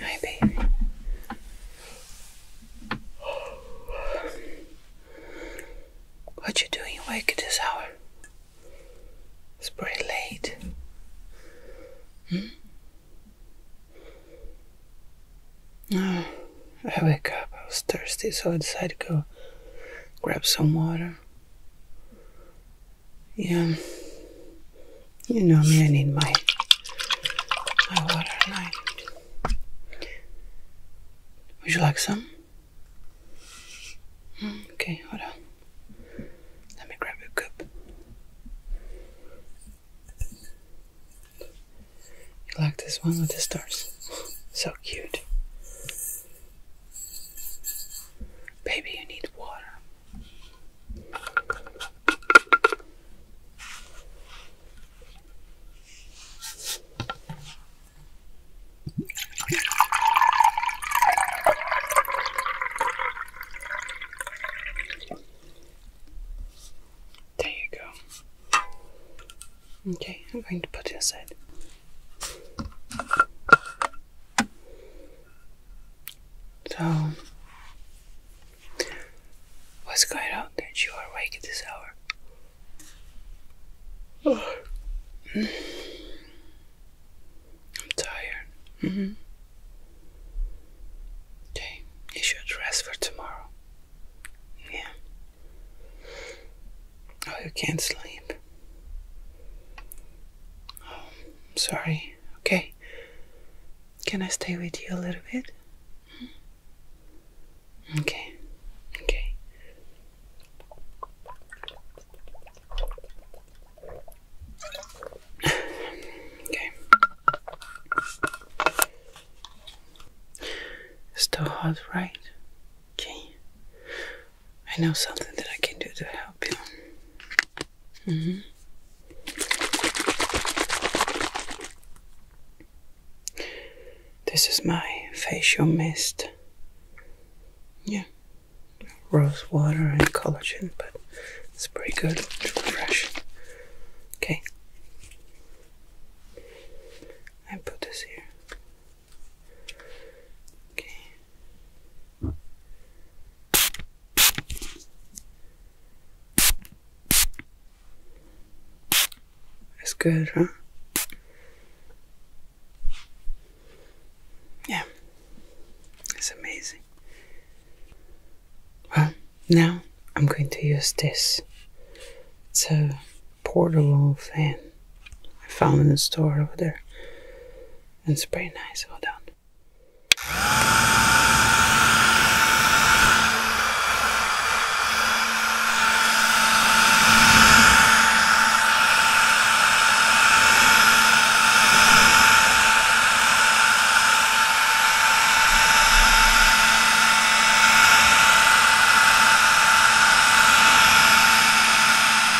Hi, baby. What you doing awake at this hour? It's pretty late. Hmm? I wake up. I was thirsty, so I decided to go grab some water. Yeah. You know me, I need my, my water Would you like some? Hmm, okay, hold on. Let me grab a cup. You like this one with the stars? so cute. Baby, you need water. There you go. Okay, I'm going to put it aside. So, what's going on that you are awake at this hour? I'm tired. Okay, mm-hmm. you should rest for tomorrow. Yeah. Oh, you can't sleep. Oh, I'm um, sorry. Okay. Can I stay with you a little bit? Okay. Okay. okay. Still hot, right? Okay. I know something that I can do to help you. Mm-hmm. This is my facial mist. Yeah, rose water and collagen, but it's pretty good to refresh. Okay, I put this here. Okay. That's good, huh? Yeah, it's amazing. Well, now I'm going to use this. It's a portable fan. I found in the store over there. And it's pretty nice. Hold done.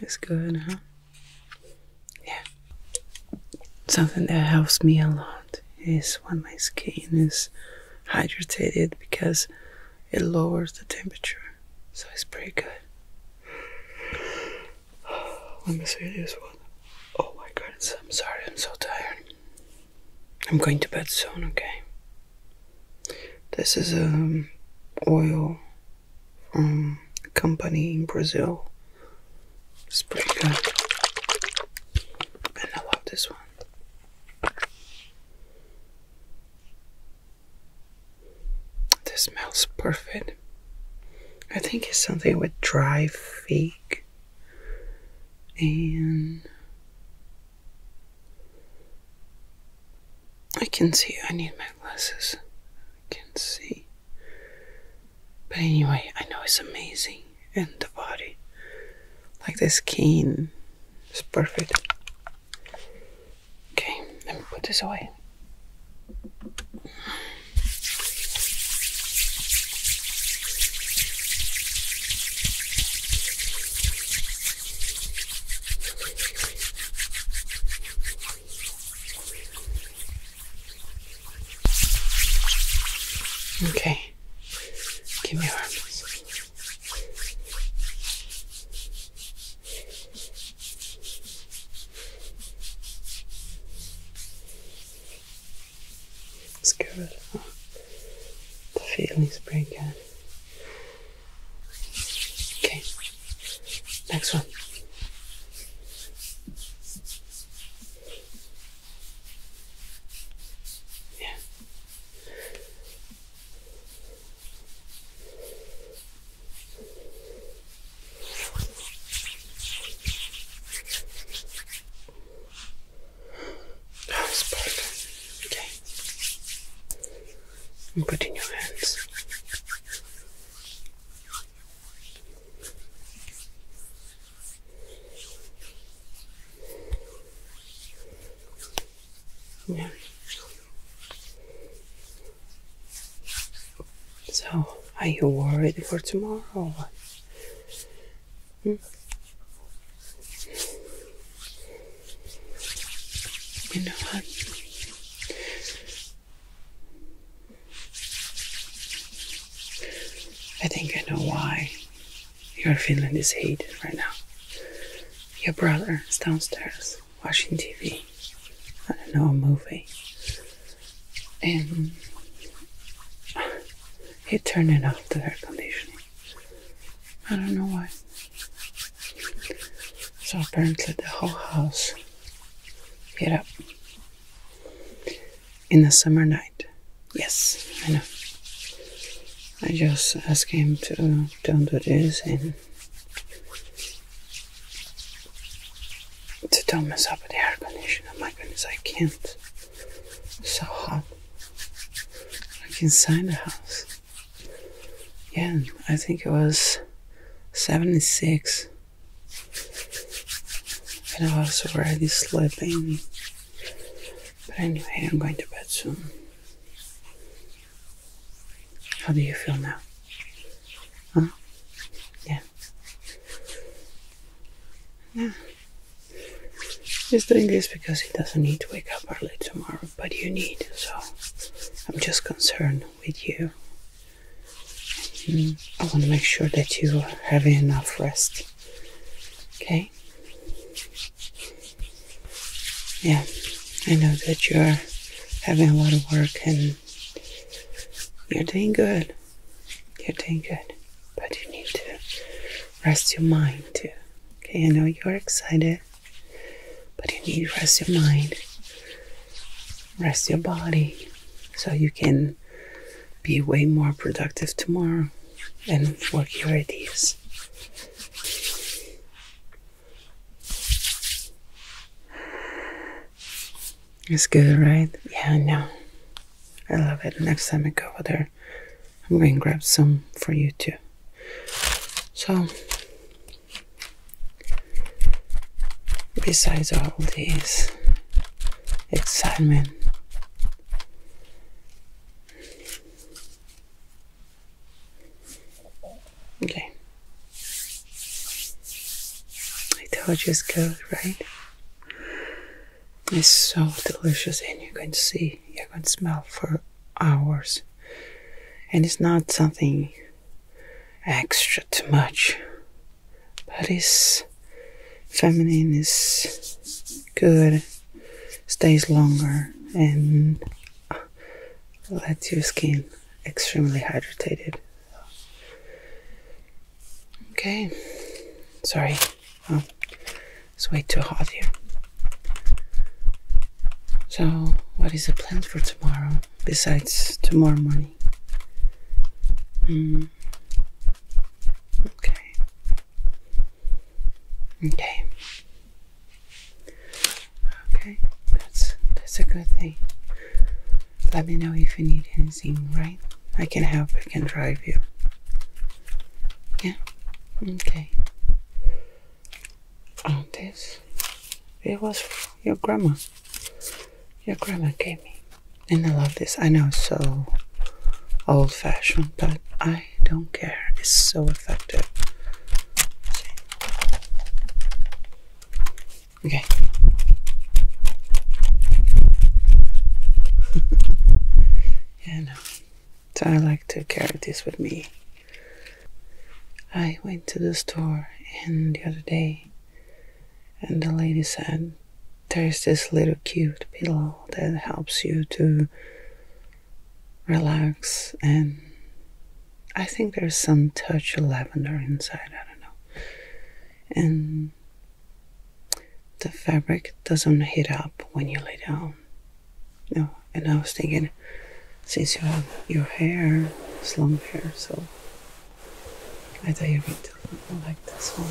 It's good, huh? Yeah. Something that helps me a lot is when my skin is hydrated because it lowers the temperature. So it's pretty good. Let me see this one. Oh my god, I'm sorry, I'm so tired. I'm going to bed soon, okay? This is a um, oil from a company in Brazil. It's pretty good. And I love this one. This smells perfect. I think it's something with dry fig and I can see I need my glasses. I can see. But anyway, I know it's amazing and the body. Like the skin is perfect. Okay, let me put this away. Okay. Give me your arms. It's good. The feeling is pretty good. Okay. Next one. Yeah. Oh, Okay. put in your hands. So, are you worried for tomorrow hmm? You know what? I think I know why. Your Finland is hated right now. Your brother is downstairs watching TV. I don't know, a movie. And he turned it off the air conditioning. I don't know why. So apparently the whole house get up in a summer night. Yes, I know. I just ask him to don't do this and to don't mess up with the air Oh My goodness, I can't. It's so hot. I Like sign the house. Yeah, I think it was 76. And I was already sleeping but anyway, I'm going to bed soon. How do you feel now? Huh? Yeah. Yeah. He's doing this because he doesn't need to wake up early tomorrow, but you need, so I'm just concerned with you. Mm, I want to make sure that you are having enough rest. Okay? Yeah, I know that you're having a lot of work and you're doing good. You're doing good. But you need to rest your mind too. Okay, I know you're excited, but you need to rest your mind, rest your body so you can be way more productive tomorrow and work your ideas. It's good, right? Yeah, I know. I love it. Next time I go over there, I'm going to grab some for you too. So, besides all these Excitement. Okay. I all just it's good, right? It's so delicious, and you're going to see, you're going to smell for hours. And it's not something extra too much but is feminine is good, stays longer, and uh, lets your skin extremely hydrated. Okay, sorry, oh, it's way too hot here. So, what is the plan for tomorrow besides tomorrow morning? Hmm. Okay. Okay. Okay, that's that's a good thing. Let me know if you need anything, right? I can help, I can drive you. Yeah? Okay. Oh, this. It was your grandma. Your grandma gave me. And I love this. I know it's so old fashioned, but I don't care. It's so effective. Okay. yeah, no. So I like to carry this with me. I went to the store and the other day and the lady said, There's this little cute pillow that helps you to relax. And I think there's some touch of lavender inside, I don't know. And the fabric doesn't heat up when you lay down. No, and I was thinking, since you have your hair, long hair, so I thought you would like this one.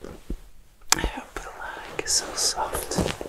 But like so soft.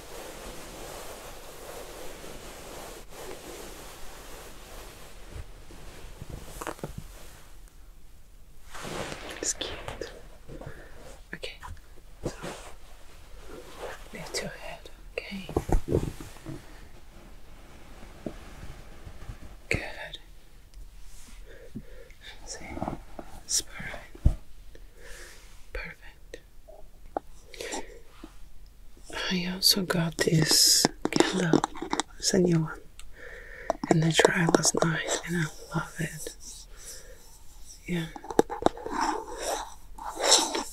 It's cute. Okay, lift your head, okay? Good. See, spine. Perfect. I also got this candle. It's a new one. And the tried was nice, and I love it. Yeah.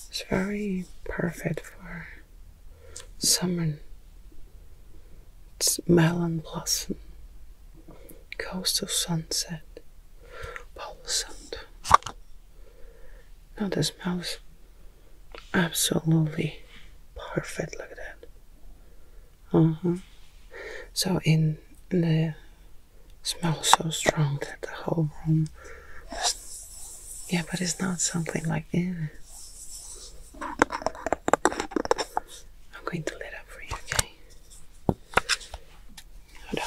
It's very perfect for summer. It's melon blossom. Coast of sunset. Palo Santo. Now the smells absolutely perfect like that. Uh mm-hmm. huh. So in the smell so strong that the whole room. yeah, but it's not something like that. I'm going to let up for you, okay? Hold on.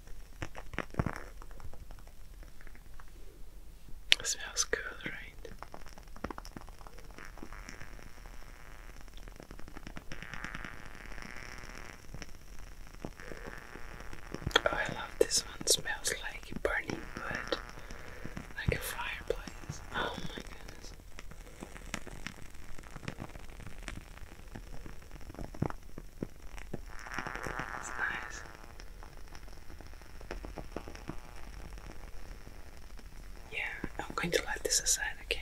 smells good, right? Oh, I love this one. smells like burning wood, like a fireplace. Oh my goodness. Yeah, I'm going to let this aside, okay?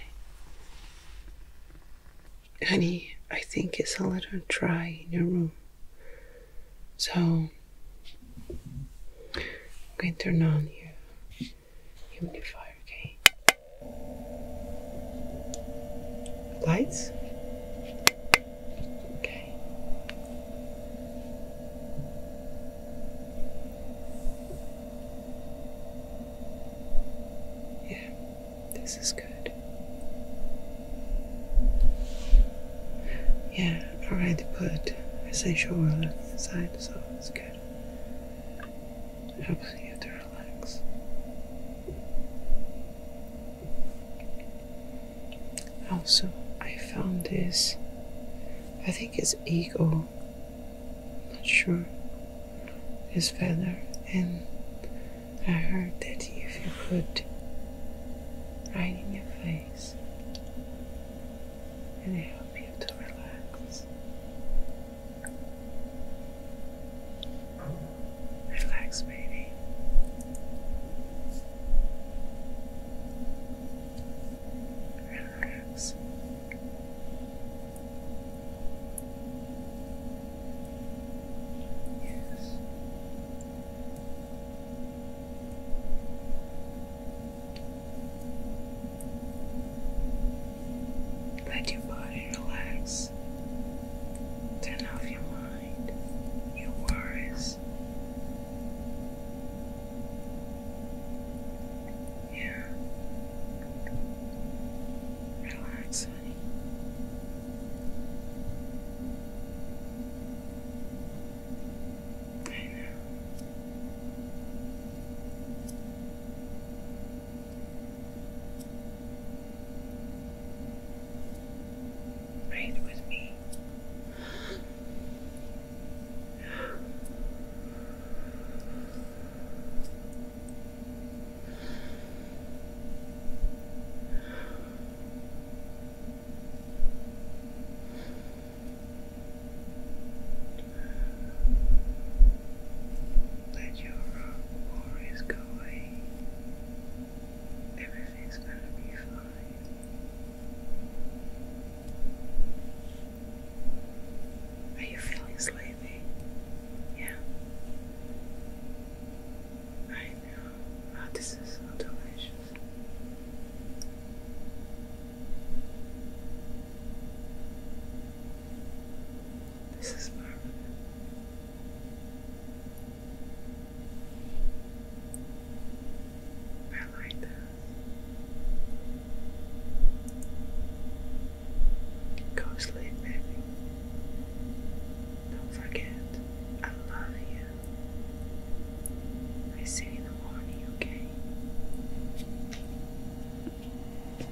Honey, I think it's a little dry in your room. So I'm going to turn on your humidifier, okay? Lights? Okay. Yeah, this is good. Yeah, I already put essential oil aside, so it's good. It helps you to relax. Also, I found this. I think it's eagle. Not sure. This feather, and I heard that if you put right in your face, and it help you to relax. Relax, baby. Relax. Yes. Let your body relax. Turn off your mind, your worries. Yeah. Relax, honey. I know. Breathe with me. Let your worries go away. Everything's gonna be fine. Are you feeling sleepy? Yeah. I know. Oh, this is so delicious. This is permanent. I like that. Go sleep, baby. Don't forget, I love you. I see in the morning, okay?